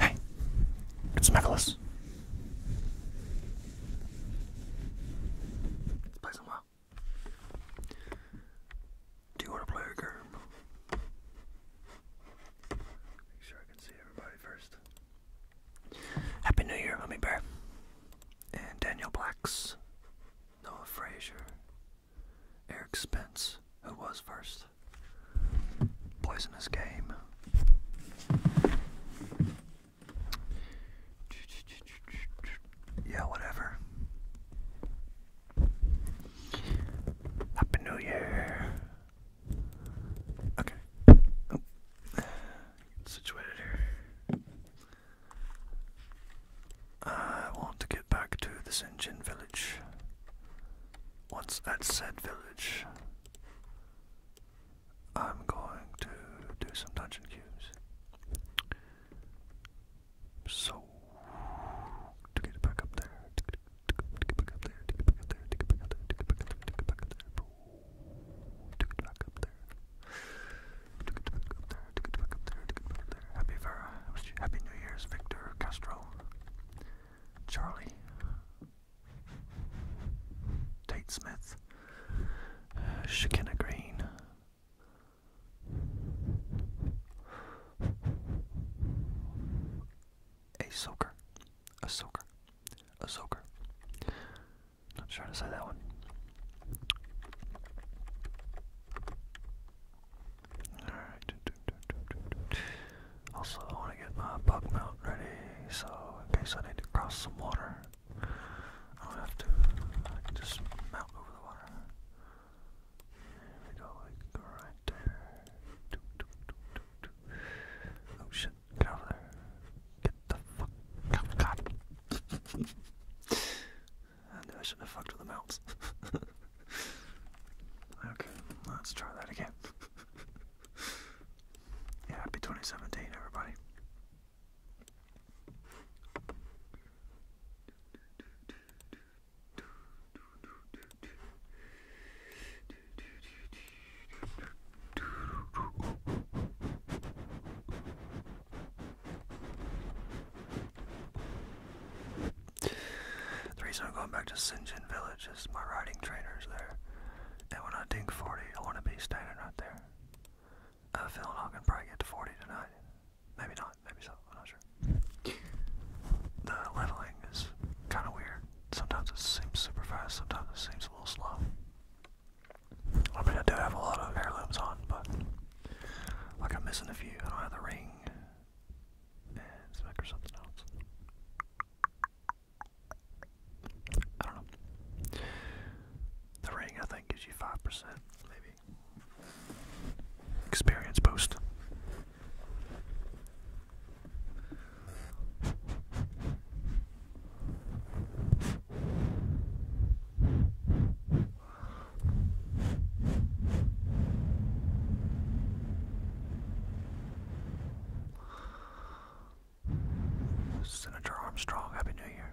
Hey, it's Nicholas. Let's play some well. Do you want to play a game? Make sure I can see everybody first. Happy New Year, Mummy Bear and Daniel Blacks, Noah Fraser, Eric Spence, who was first, Poisonous Game. Yeah, whatever. Happy New Year. Okay. Oh. Situated here. I want to get back to the Sinjin village. Once at said village, I'm going to do some dungeon queues. So, to get back up there, to get, back up there, to get back up there, to get back up there, to get back up there, to get back up there, to to get back up there, Happy Vera, Happy New Year's, Victor Castro, Charlie, Tate Smith, uh, Green. A soaker, a soaker, a soaker. I'm trying to say that one. Alright. Also, I want to get my bug mount ready, so in case I need to cross some water, I don't have to. just mount over the water. There we go, like right there. Oh shit, get out there the fuck? Oh, God. I knew I shouldn't have fucked with the mounts. okay, let's try that again. yeah, happy 2017, everybody. The reason I'm going back to Sinjin Village is my riding trainer's there. And when I think 40, I want to be standing right there. I feel like I can probably get to 40 tonight. Maybe not, maybe so, i not sure. The leveling is kind of weird. Sometimes it seems super fast, sometimes it seems a little slow. I mean, I do have a lot of heirlooms on, but like I'm missing a few. I don't have the ring and something else. I don't know. The ring, I think, gives you 5%, maybe. Experience boost. Senator Armstrong, Happy New Year.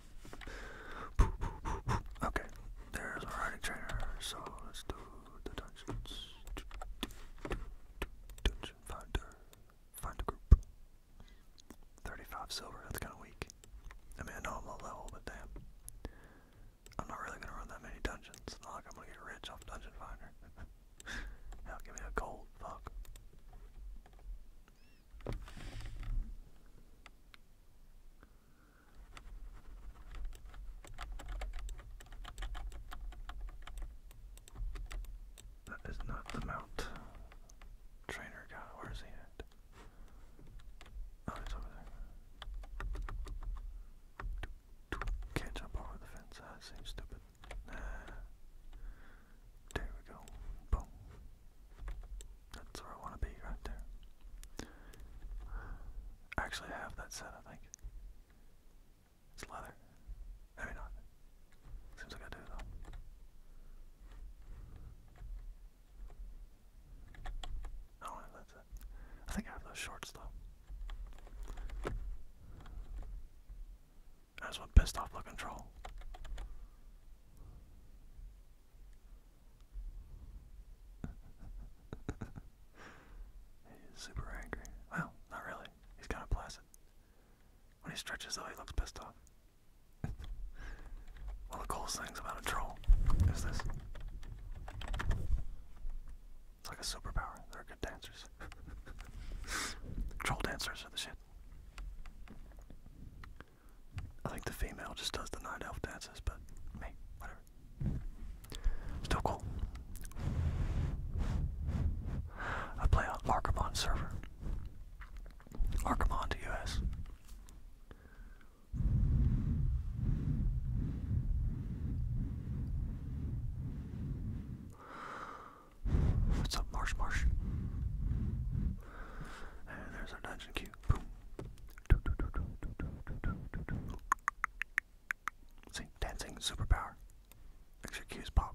Okay, there's a riding trainer, so let's do the dungeons. Dungeon finder, find a group. 35 silver, that's kind of weak. I mean, I know I'm low level, but damn. I'm not really gonna run that many dungeons. It's not like I'm gonna get rich off Dungeon Finder. Hell, give me a gold, fuck. That is not the mount. Trainer guy, where is he at? Oh, it's over there. Can't jump over the fence, that ah, seems stupid. Nah. There we go. Boom. That's where I want to be, right there. Actually, I have that set, I think. It's leather. Maybe not. Seems like I do, though. I don't I think I have those shorts, though. That's what pissed off the control. he's super angry. Well, not really. He's kind of placid. When he stretches, though, he looks pissed off. One of the coolest things about a troll is this. It's like a superpower. They're good dancers. troll dancers are the shit. I think the female just does the night elf dances, but me, whatever. Still cool. I play on Archimond server. Archimond US. What's up, Marsh Marsh? And there's our dungeon queue. Boom. See, dancing superpower. Excuse pop.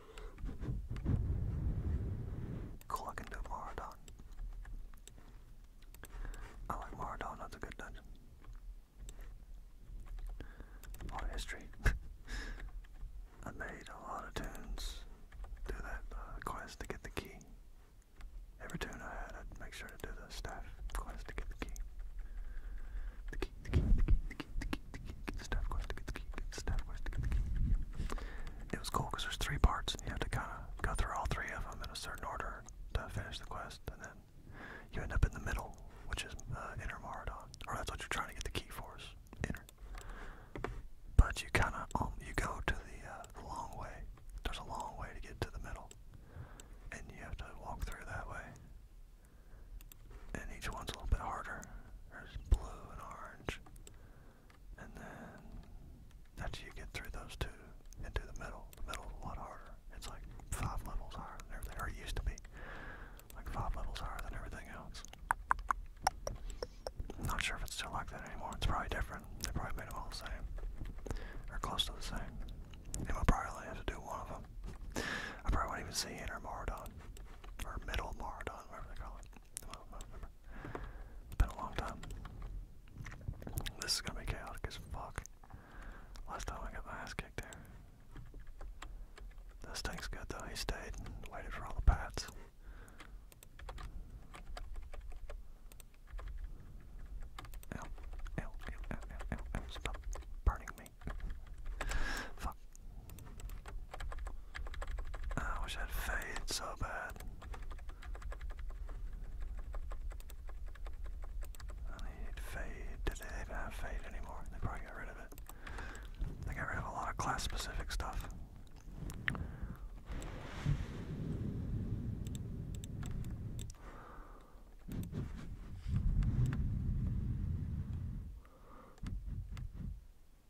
Cool, I can do Maradon. I like Maradon, that's a good dungeon. A lot of history. I made a lot of tunes. Do that uh, quest to get the key. Every tune I had, I'd make sure to do the staff quest to get the key. The key, the key, the key, the key, the key, the key, the staff quest to get the key, the staff quest to get the key it was cool because there's three parts, you have to kind of go through all three of them in a certain order to finish the quest, and then you end up in the middle, which is uh, Inner Maradon, or that's what you're trying to get the key for, is Inner. But you kind of um, you go to the uh, long way. There's a long way to get to the middle, and you have to walk through that way. And each one's a little bit harder. There's blue and orange and then after you get through those two, into the middle. The middle's a lot harder. It's like five levels higher than everything, or used to be like five levels higher than everything else. not sure if it's still like that anymore. It's probably different. They probably made them all the same, or close to the same. And we probably only have to do one of them. I probably won't even see Inner Maradon, or Middle Maradon, whatever they call it been a long time. This is gonna be chaotic as fuck. Last time I got my ass kicked here. This thing's good though, he stayed and waited for all the pats. Ow, ow, ow, ow, ow, ow, stop burning me. Fuck. I wish I had fade so bad. I need fade. Did they even have fade anymore? They probably got rid of it. They got rid of a lot of class specific stuff.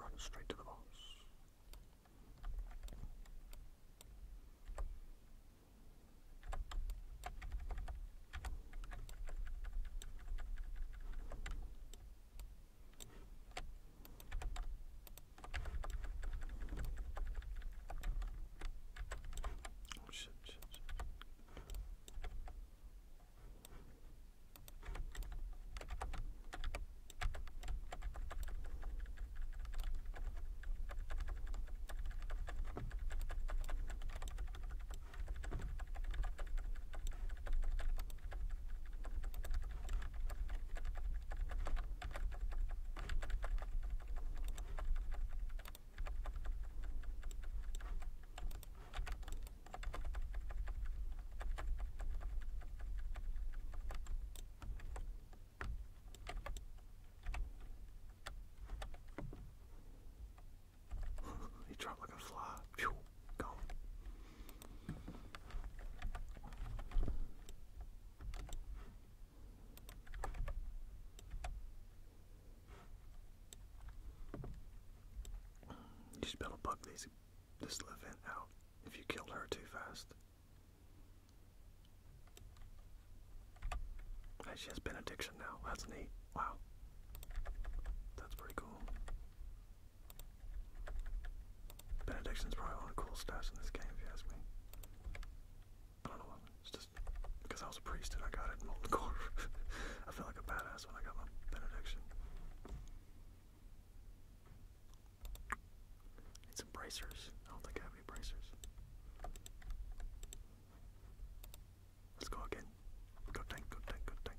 Run straight to the boss. Oh shit, shit, shit. he dropped like a fly. Pew, gone. You should be bug these this little out if you killed her too fast. Hey, she has benediction now. That's neat. Wow. That's pretty cool. Benediction's probably one of the coolest stats in this game, if you ask me. I don't know, it's just because I was a priest and I got it in Molten I felt like a badass when I got my benediction. Need some bracers. I don't think I have any bracers. Let's go again. Go tank, go tank, go tank.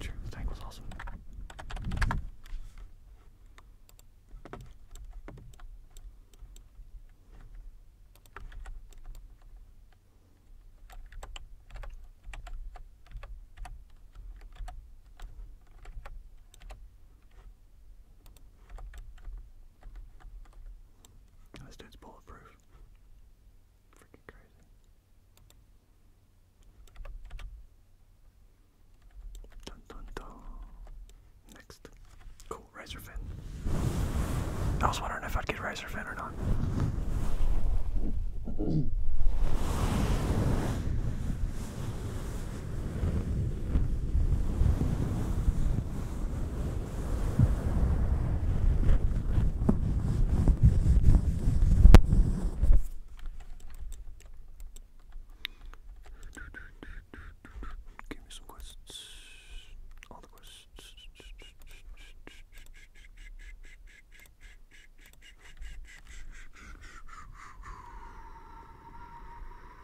Sure, the tank was awesome. This dude's bulletproof. Freaking crazy. Dun dun dun. Next. Cool, Razor I was wondering if I'd get Razor Fin or not. Give me some quests. All the quests.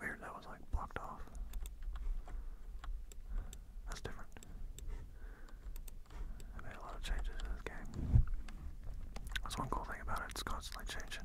Weird, that was like blocked off. That's different. I made a lot of changes to this game. That's one cool thing about it, it's constantly changing.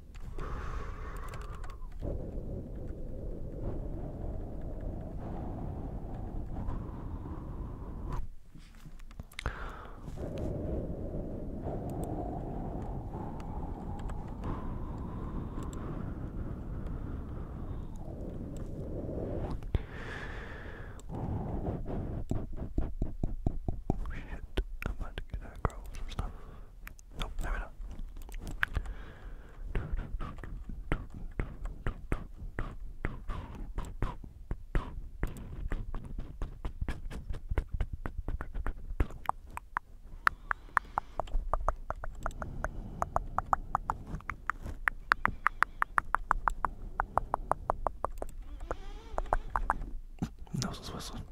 Oh, shit, I'm about to get aggro with some stuff. No, maybe not. Nose is whistling.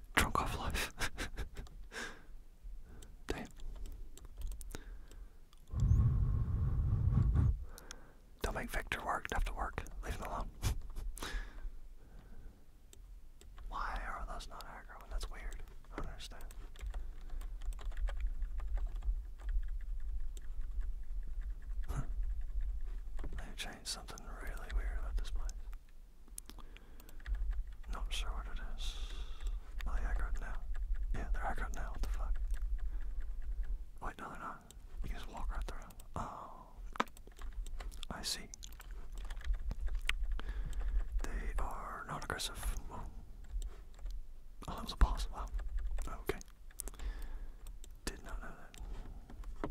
Drunk off life. Damn. Don't make Victor work, have to work. Leave him alone. Why are those not aggro? That's weird. I understand. they changed something really weird about this place. Not sure what it is. Are they aggroed now? Yeah, they're aggroed now. What the fuck? Wait, no, they're not. You just walk right through. Oh. I see. They are not aggressive. oh that was a pause. Wow. Okay. Did not know that.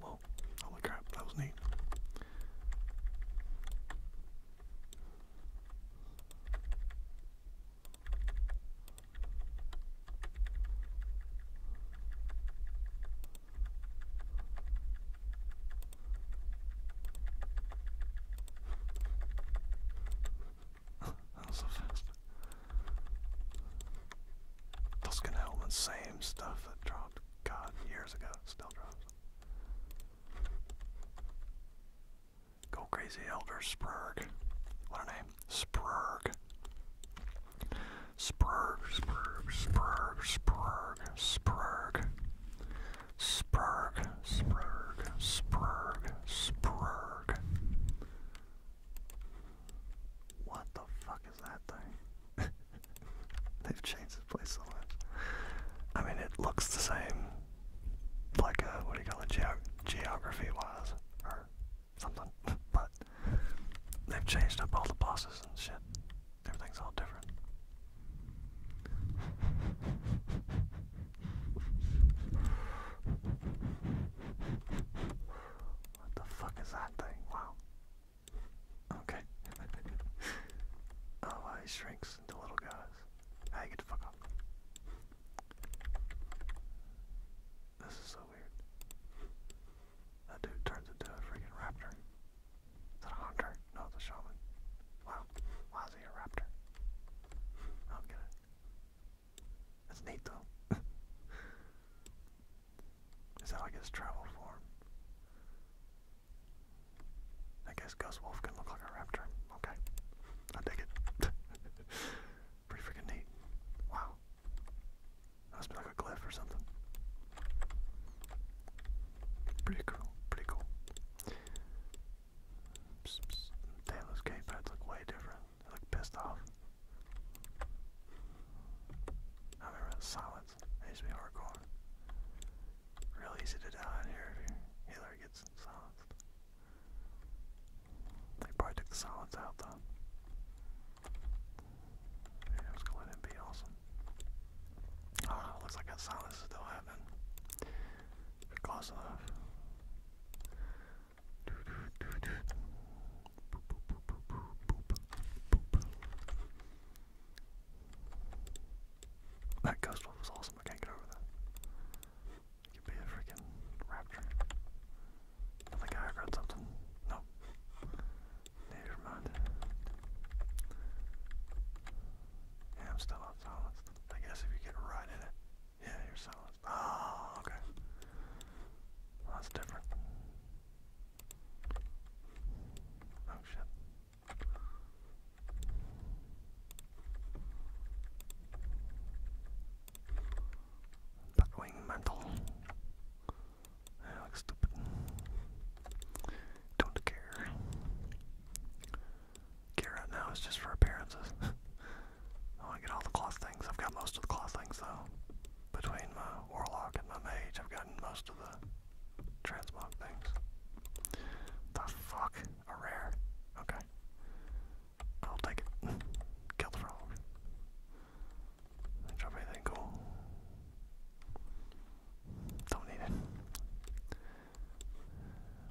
Whoa, holy crap, that was neat. that was so fast. Tuscan helmet, same stuff that dropped. God, years ago, still drops. Go crazy, Elder Sprurg. What a name. Sprurg. Sprurg, Sprurg, Sprurg, Sprurg, Sprurg. Sprurg, Sprurg, Sprurg, Sprurg. What the fuck fuck that thing? They've changed this place so much. I mean, it looks the same, like a, uh, what do you call it, ge geography-wise, or something, but they've changed up all the bosses and shit. Everything's all different. What the fuck is that thing? Wow. Okay. oh, uh, he shrinks into little guys. Hey, get the fuck up. This is so weird. That dude turns into a freaking raptor. Is that a hunter? No, it's shaman. Wow. Why is he a raptor? I do get it. That's neat though. Is that like his travel form? I guess Ghost Wolf can look like a raptor. Okay. I dig it. Pretty freaking neat. Wow. must be like a cliff or something. Pretty cool. Pretty cool. Psst, psst. Damn, look way different. They look pissed off. I remember that shots. me hardcore. Real easy to die here if your gets silenced. They probably took the silence out though. Yeah, was gonna be awesome. Oh, looks like that silence still happening. they that ghost wolf was awesome. I can't get over that. could be a freaking rapture. I think I read something. Nope. Never mind. Yeah, I'm still on silence. I guess if you get right in it, yeah, you're silenced. Oh, okay. that's different. Oh shit. Batwing mantle. I look stupid. Don't care. Care now is just for appearances. Oh, I get all the cloth things. I've got most of the cloth things though. Between my warlock and my mage, I've gotten most of the transmog things. The fuck? A rare? Okay. I'll take it. Kill the frog. drop anything cool? Don't need it.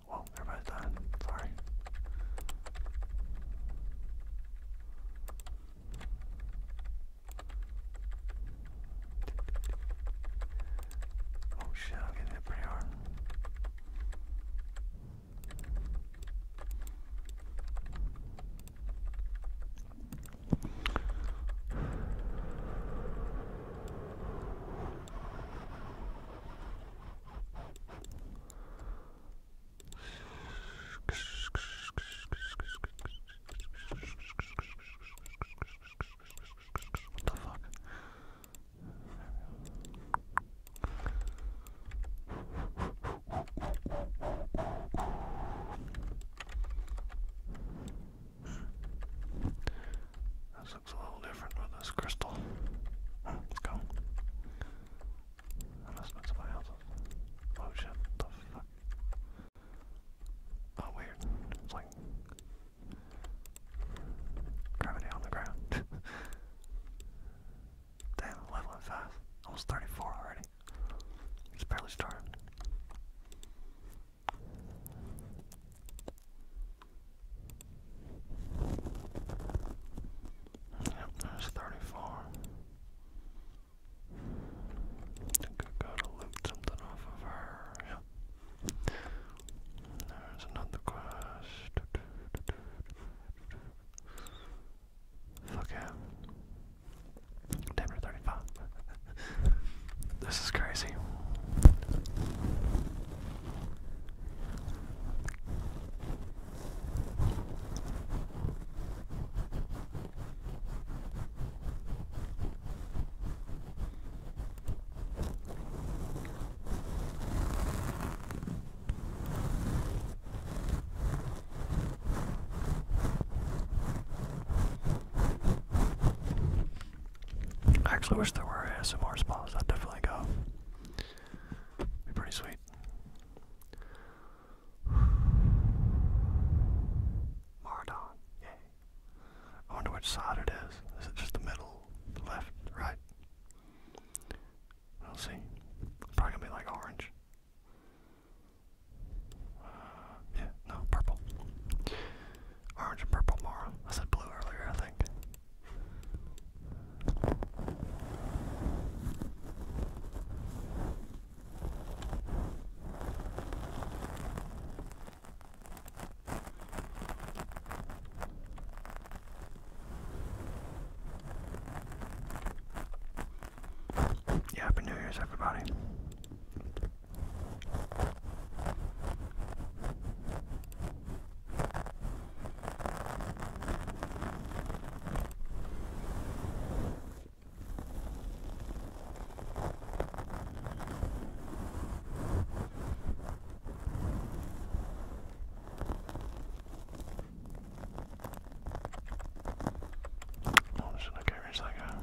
Whoa, everybody's dying. Sorry. Oh shit, I'm getting hit pretty hard. What the fuck? This looks a little different with this crystal. Let's go. I must have been somebody else's. Oh shit, what the fuck? Oh, weird. It's like gravity on the ground. Damn, leveling fast. Almost 34 already. It's barely started. Yep, there's 34 think I gotta loot something off of her. Yeah. There's another quest. Look at damn 35. this is crazy. I actually wish there were ASMR spas. I'd definitely go. Be pretty sweet. Mardon, yeah. I wonder which side it is. Is it just the middle, left, right? We'll see. Probably gonna be like orange. Uh, yeah, no, purple. Orange and purple Mara. I said blue earlier, I think. Yeah, Happy New Year's, everybody. I'm just gonna carry this like a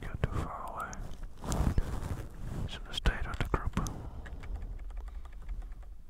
you too far away. It's a mistake of the group.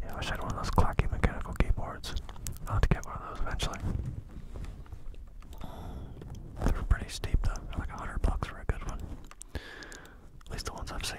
Yeah, I wish I had one of those clacky mechanical keyboards. I'll have to get one of those eventually. They are pretty steep though, like a hundred bucks for a good one. At least the ones I've seen.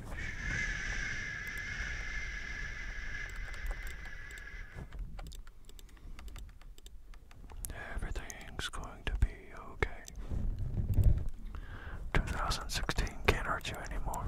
Everything's going to be okay. 2016 can't hurt you anymore.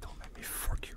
Don't let me fork you.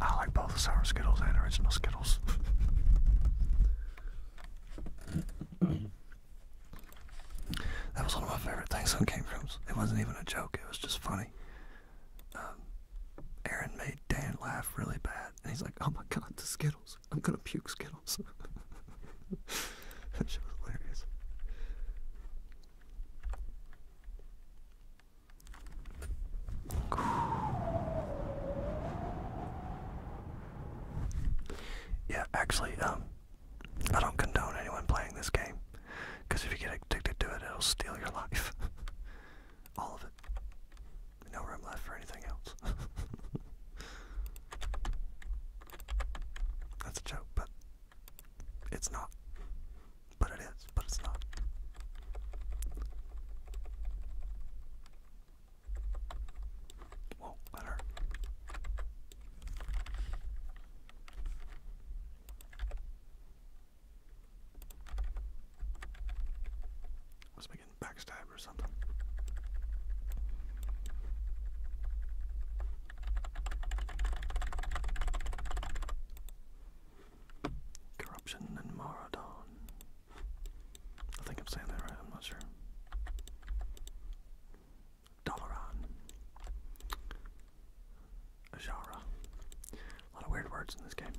I like both sour Skittles and original Skittles. That was one of my favorite things on came from. It wasn't even a joke, it was just funny. Um, Aaron made Dan laugh really bad, and he's like, oh my god, the Skittles. I'm gonna puke Skittles. that show was hilarious. Yeah, actually, um, I don't condone anyone playing this game, because if you get addicted to it, it'll steal your life. All of it. No room left for anything else. That's a joke, but it's not. But it is, but it's not. Whoa, that hurt. Must getting backstabbed or something. Corruption and Maradon. I think I'm saying that right, I'm not sure. Dalaran. Ajara. A lot of weird words in this game.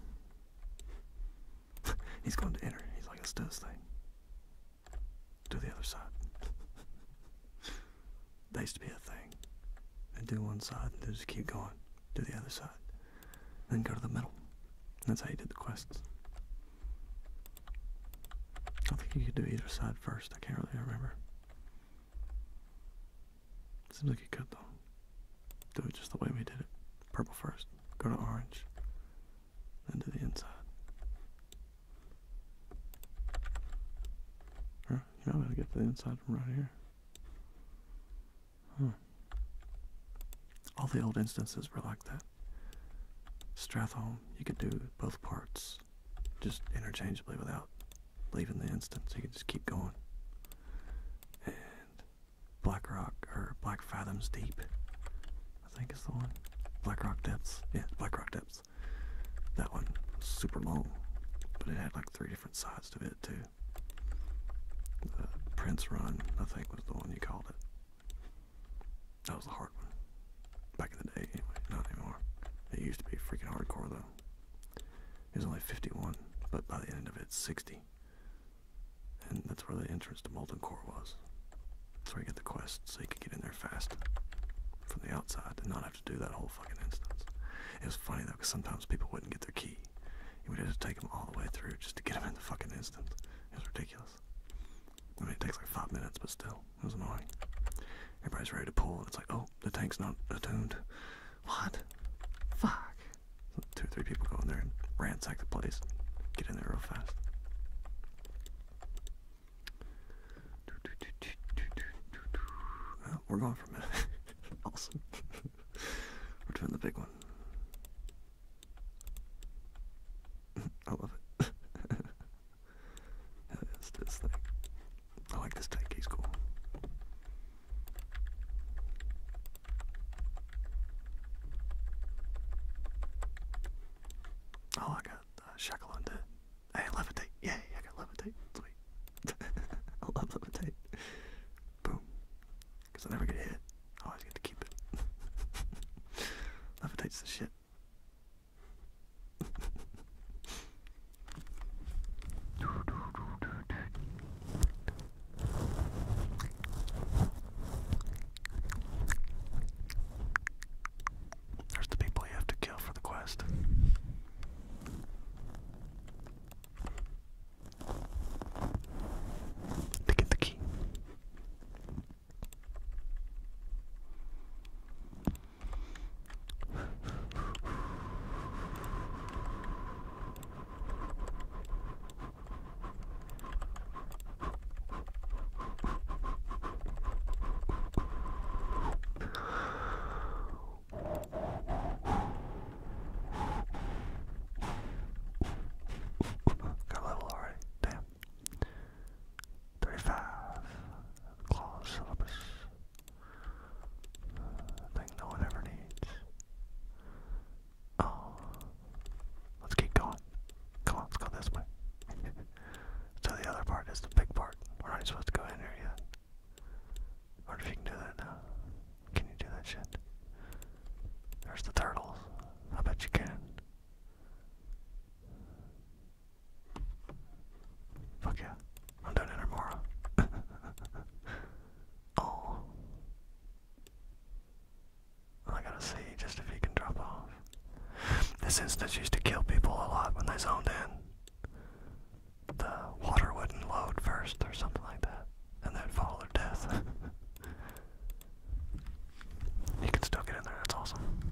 He's going to enter. He's like, let's do this thing. Do the other side. They used to be a thing. And do one side and just keep going. Do the other side. Then go to the middle. That's how you did the quests. I think you could do either side first. I can't really remember. Seems like you could though. Do it just the way we did it. Purple first. Go to orange. Then to the inside. You're not to get to the inside from right here. All the old instances were like that that. you could do both parts just interchangeably without leaving the instance. You could just keep going. And Black Rock or Black Fathoms Deep, I think it's the one. Black Rock Depths. Yeah, Black Rock Depths. That one was super long, but it had like three different sides to it too. Prince Run, I think, was the one you called it. That was the hard one. Back in the day, anyway. Not anymore. It used to be freaking hardcore, though. It was only 51, but by the end of it, 60. And that's where the entrance to Molten Core was. That's where you get the quest, so you can get in there fast from the outside and not have to do that whole fucking instance. It was funny, though, because sometimes people wouldn't get their key. You would have to take them all the way through just to get them in the fucking instance. It was ridiculous. I mean, it takes like five minutes, but still. It was annoying. Everybody's ready to pull, it's like, oh, the tank's not attuned. What? Fuck. two or three people go in there and ransack the place. Get in there real fast. we're going for a minute. awesome. we're doing the big one. I love it. It's this thing. I like this tank, he's cool. Oh, I got uh, shackle on dead. levitate. Yay, I got levitate. Sweet. I love levitate. Boom. Because I never get hit. always get to keep it. Levitate's the shit. There's the people you have to kill for the quest. To get the key. Got a level already. Damn. 35 clause syllabus. thing uh, no one ever needs. Oh, let's keep going. Come on, let's go this way. so the other part is the big part. We're not even supposed to go in here yet. Or if you can do that now. Can you do that shit? There's the turtles. I bet you can. Fuck yeah. I'm doing it tomorrow. oh. I gotta see just if he can drop off. This instance used to kill people a lot when they zoned in. The water wouldn't load first or something like that, and then would follow their death. you can still get in there, that's awesome.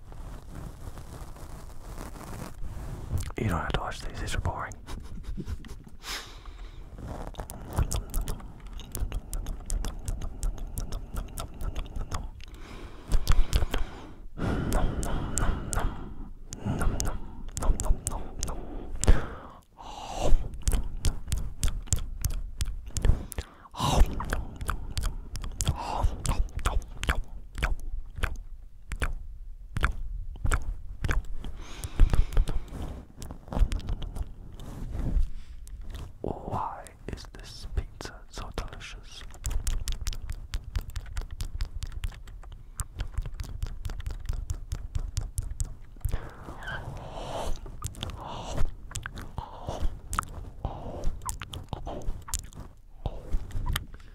You don't have to watch these, these are boring. Why is this pizza so delicious?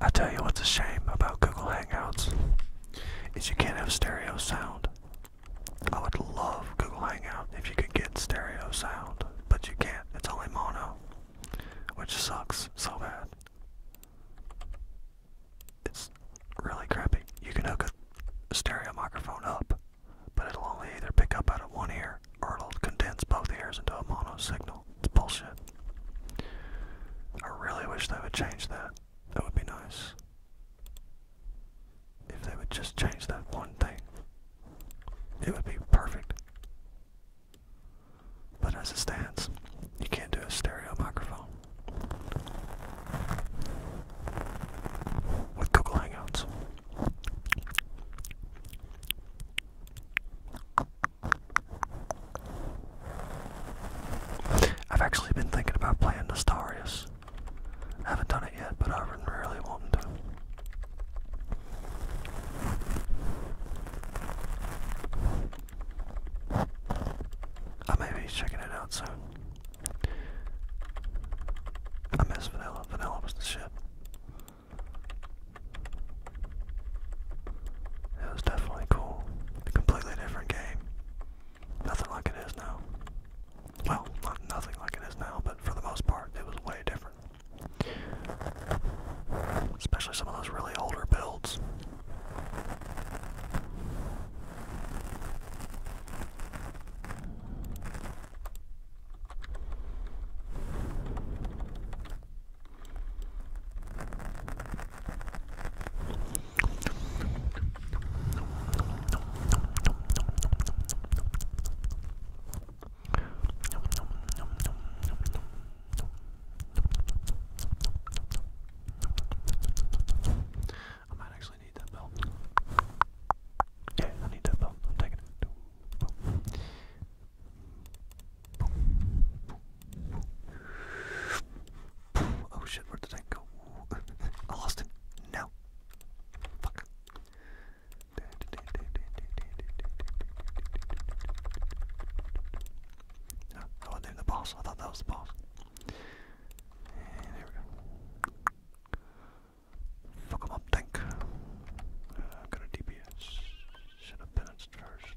I tell you what's a shame about Google Hangouts is you can't have stereo sound. I would love Google Hangout if you could get stereo sound, but you can't. It's only mono, which sucks so bad. It's really crappy. You can hook a stereo microphone up, but it'll only either pick up out of one ear or it'll condense both ears into a mono signal. It's bullshit. I really wish they would change that. That would be nice. If they would just change that one thing, it would be perfect. But as it stands, you can't do a stereo microphone with Google Hangouts. I've actually been thinking about playing Nostarius. I haven't done it yet, but I've been really wanting to. I may be checking it out soon. I miss vanilla. Vanilla was the shit. It was definitely cool. A completely different game. Nothing like it is now. Well, nothing like it is now, but for the most part, it was way different. Especially some of those really older builds. I might actually need that bell. Yeah, I need that bell. I'm taking it. Boom. Oh shit, where did I go? I lost him. No. Fuck. I wasn't the boss. I thought that was the boss. And we go. Fuck him up, tank. I've uh, got a DPS. Should have balanced first.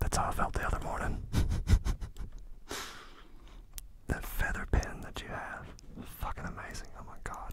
That's how I felt the other morning. that feather pen that you have. Fucking amazing. Oh my god.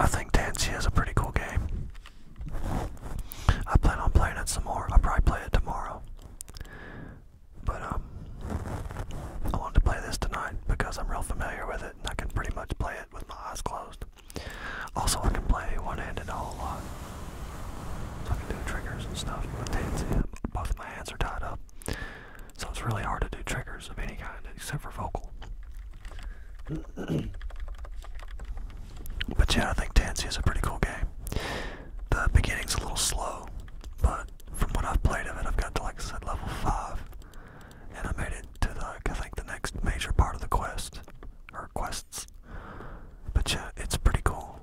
I think Dancia is a pretty cool game. I plan on playing it some more. I'll probably play it tomorrow. But um I wanted to play this tonight because I'm real familiar with it and I can pretty much play it with my eyes closed. Also I can play one handed a whole lot. So I triggers and stuff with Dancia. Both my hands are tied up. So it's really hard to do triggers of any kind except for vocal. but yeah, I think Dancy is a pretty cool game. The beginning's a little slow, but from what I've played of it, I've got to, like said, level 5. And I made it to, the, I think, the next major part of the quest, or quests. But yeah, it's pretty cool.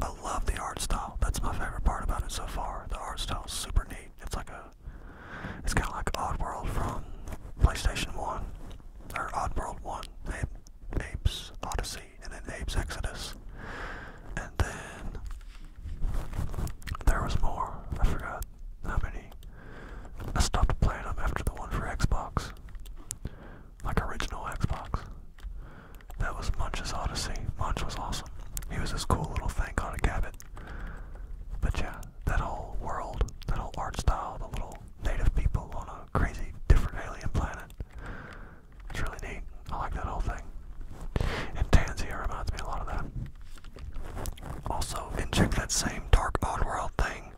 I love the art style. That's my favorite part about it so far. The art style is super neat. It's like a, it's kind of like Odd World from PlayStation 1, or World 1, Ape, Apes Odyssey, and then Apes Exodus. And then there was more. I forgot how many. I stopped playing them after the one for Xbox, like original Xbox. That was Munch's Odyssey. Munch was awesome. He was this cool little thing called a gabbit. But yeah, that whole world, that whole art style, the little native people on a crazy different alien planet. It's really neat. I like that whole thing. And Tanzia reminds me a lot of that. Also, inject that same Dark world thing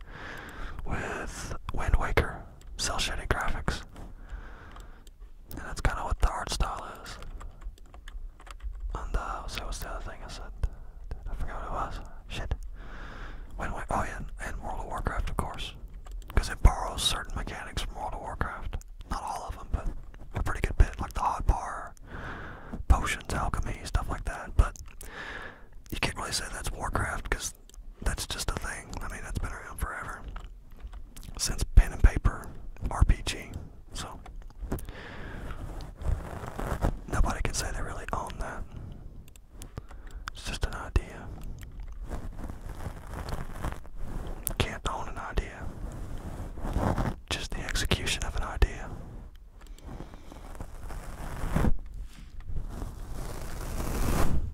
with Wind Waker, cell shaded graphics. And that's kind of what the art style is. And uh, what's the other thing I said? I forgot what it was. Shit. When, when, oh yeah, and World of Warcraft, of course. Because it borrows certain mechanics from World of Warcraft. Not all of them, but a pretty good bit, like the hot bar, potions, alchemy, stuff like that. But you can't really say that's Warcraft because that's just a thing. I mean, that's been around forever since pen and paper RPG. So nobody can say they really own that. It's just an idea. Can't own an idea. Just the execution of an idea.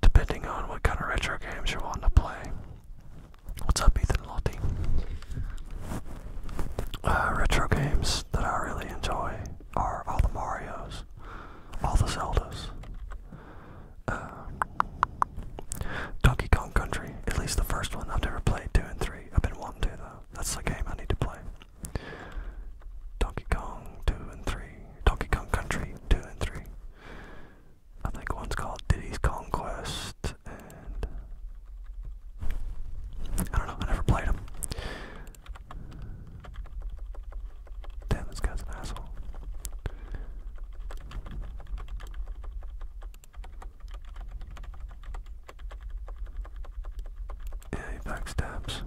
Depending on what kind of retro games you're to play. What's up, Ethan Lottie? Uh, retro games that I really enjoy are all the Marios, all the Zeldas, um, Donkey Kong Country, at least the first one. I've ever played 2 and 3. I've been wanting to though. That's the game I need to play. Donkey Kong 2 and 3. Donkey Kong Country 2 and 3. I think one's called Diddy's Conquest and I don't know, I never played them. Damn, this guy's an asshole. Yeah, he backstabs.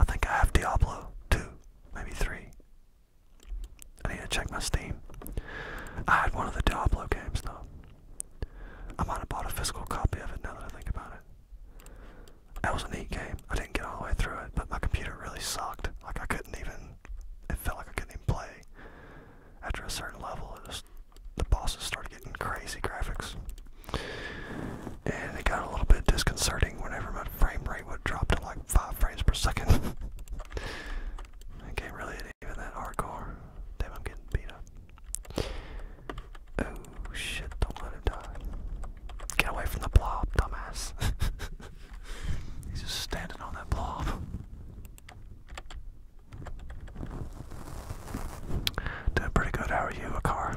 I think I have Diablo 2, maybe 3. I need to check my Steam. I had one of the Diablo games though. I might have bought a physical copy of it now that I think about it. That was a neat game. I didn't get all the way through it, but my computer really sucked. Like I couldn't even, it felt like I couldn't even play. After a certain level, it was the bosses started getting crazy graphics. And they got a little bit disconcerting whenever my frame rate would drop to like 5 frames per second. okay, really it ain't even that hardcore. Damn, I'm getting beat up. Oh shit, don't let him die. Get away from the blob, dumbass. He's just standing on that blob. Doing pretty good. How are you, a car?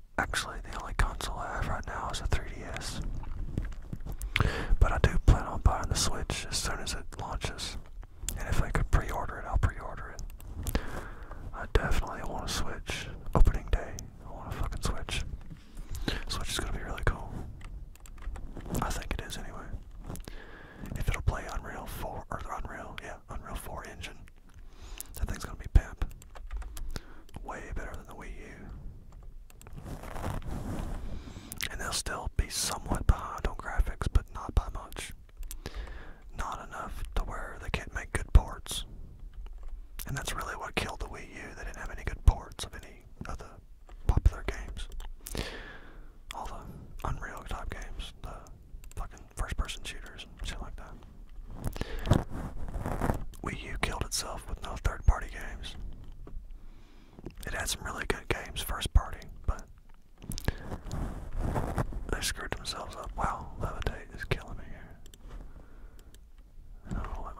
actually the only console I have right now is a 3DS. But I do plan on buying the Switch as soon as it launches. And if I could pre-order it, I'll pre-order it. I definitely want a Switch. Opening day, I want a fucking Switch. Switch is gonna be really cool. I think it is anyway. If it'll play Unreal 4, or Unreal, yeah, Unreal 4 engine, that thing's gonna be pimp. Way better than the Wii U. And they'll still be somewhat behind on graphics, but not by much. Not enough to where they can't make good ports. And that's really what killed the Wii U. They didn't have any good ports of any of the popular games. All the Unreal type games, the fucking first person shooters and shit like that. Wii U killed itself with no third party games. It had some really good games, first party, but they screwed themselves up. Wow, levitate is killing me here. I don't know, let my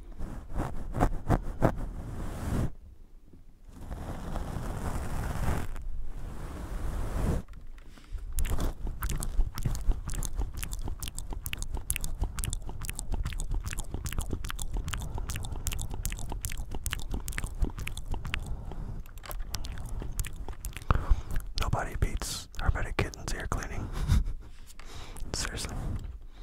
Nobody beats Hermetic Kitten's ear cleaning. Seriously.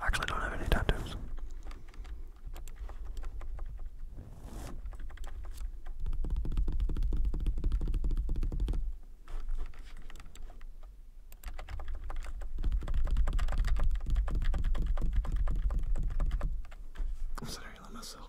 I actually don't have any tattoos. I'm sorry, let myself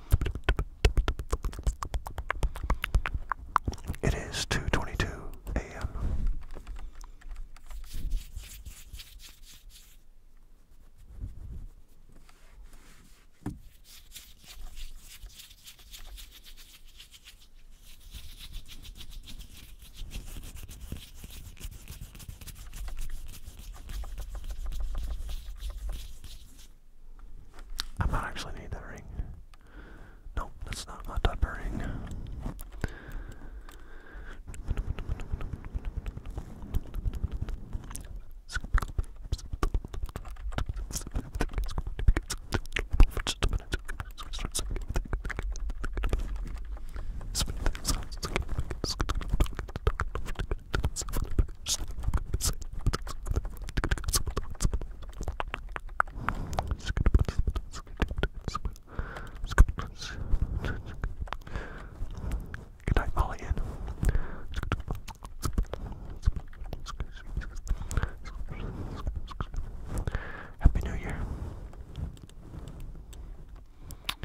it is 2:22 a.m. I might actually need that ring. Nope, that's not my type of ring. Good night, Molly Ann. Happy New Year.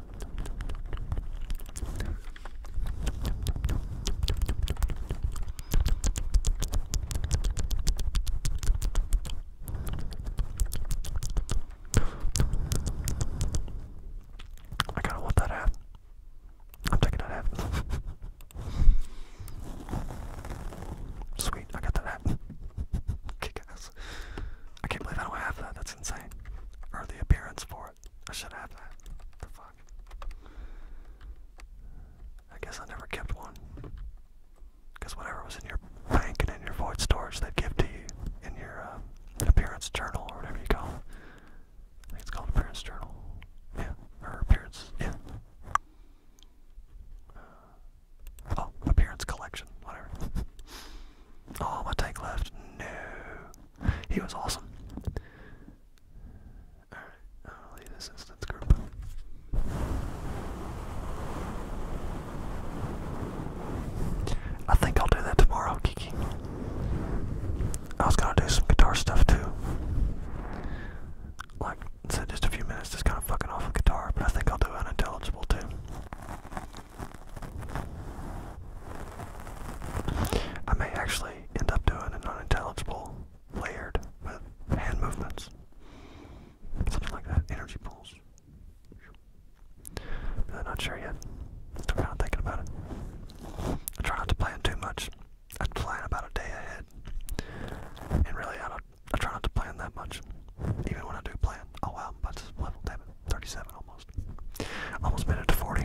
I kind of want that half. I'm taking that half. Sweet, I got that half. Kick ass. I can't believe I don't have that. That's insane. Or appearance for it. I should have that. The fuck. I guess I never kept one. Because whatever was in your bank and in your void storage, they'd give to you in your uh, appearance journal or whatever you call it. I think it's called appearance journal. Yeah, or appearance. Yeah. oh, appearance collection. Whatever. Oh, my take left. No. He was awesome. Alright, leave this instance group. I think I'll do that tomorrow, Kiki. I was gonna do some guitar stuff too. Like, so just a few minutes, just kind of fucking off guitar, but I think I'll do unintelligible too. I may actually end up doing an unintelligible layered with hand movements. Something like that. Energy pools. Really uh, not sure yet. Still kind of thinking about it. I try not to plan too much. I plan about a day ahead. And really, I, don't, I try not to plan that much. Even when I do plan. Oh wow, I'm about to split, damn it. 37 almost. Almost made it to 40.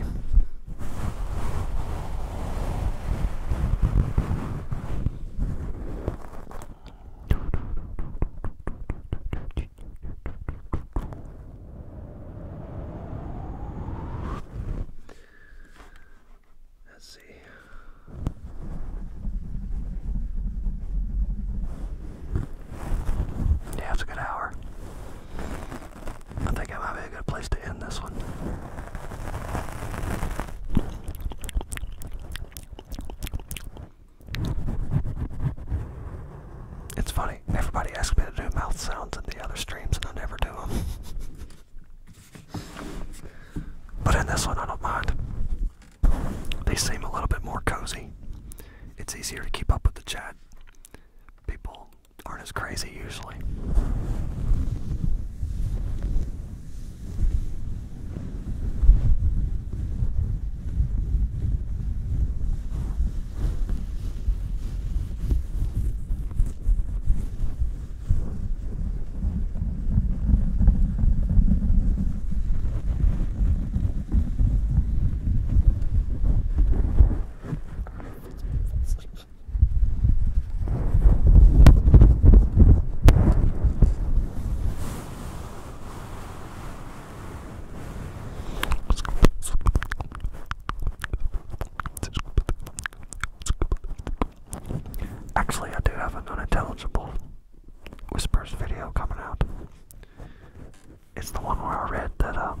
Let's see. Yeah, it's a good hour. I think that might be a good place to end this one. It's funny, everybody asks me to do mouth sounds in the other streams, and I never do them. but in this one, I don't mind. They seem a little bit more cozy. It's easier to keep up with the chat. People aren't as crazy usually. Actually, I do have an unintelligible whispers video coming out. It's the one where I read that, um,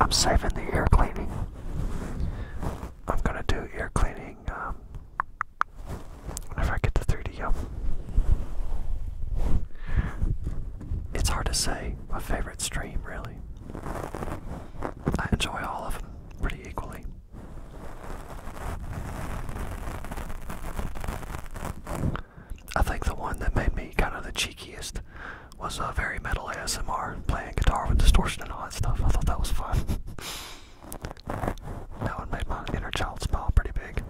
I'm saving the ear cleaning. I'm gonna do ear cleaning um, I get the 3D It's hard to say my favorite stream, really. I enjoy all of them pretty equally. I think the one that made me kind of the cheekiest was a uh, very metal ASMR playing guitar with distortion and all that stuff. I thought that was fun. that one made my inner child smile pretty big.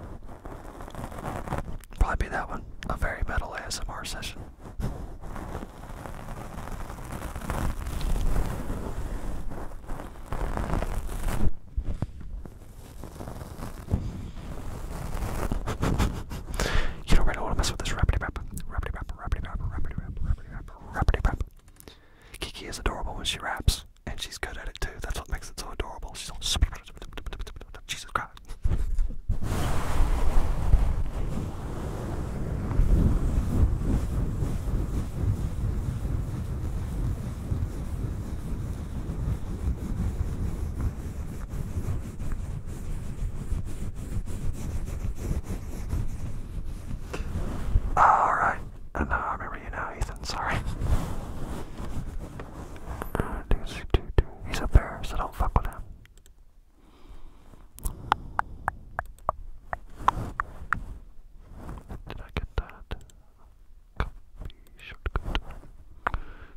Probably be that one, a very metal ASMR session. You don't really want to mess with this rapidy rap, rapidy rap, rapidy rap, rapidy rap, rapidy rap, rapidy rap. Kiki is adorable when she raps, and she's good at it too. That's what makes it so adorable. She's all Jesus Christ. Alright. And now I remember you now, Ethan. Sorry. He's a bear, so don't fuck with him. Did I get that? Copy shortcut.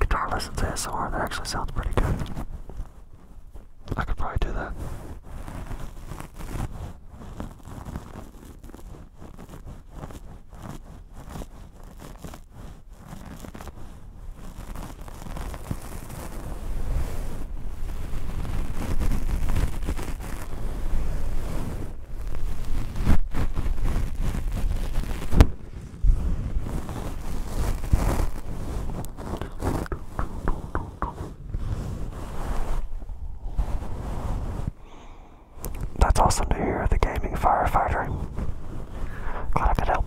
Guitar lessons ASMR, that actually sounds pretty good. I could probably do that. That's awesome to hear, the gaming firefighter. Glad I could help.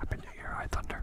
Up into your eye thunder.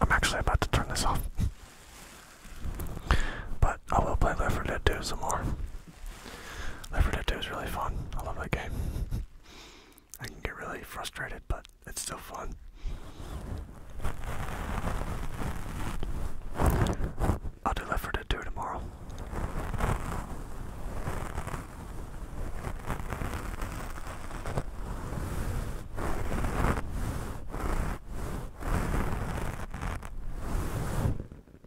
I'm actually about to turn this off. But I will play Left 4 Dead 2 some more. Left 4 Dead 2 is really fun. I love that game. I can get really frustrated, but it's still fun. I'll do Left 4 Dead 2 tomorrow.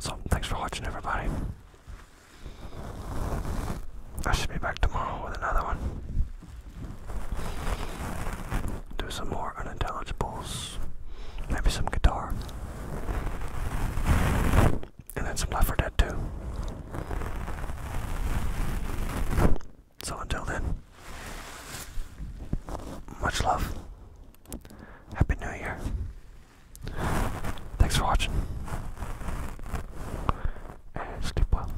So, thanks for watching, everybody. I should be back tomorrow with another one. Do some more unintelligibles. Maybe some guitar. And then some Left 4 Dead 2. So until then, much love. Happy New Year. Thanks for watching. And sleep well.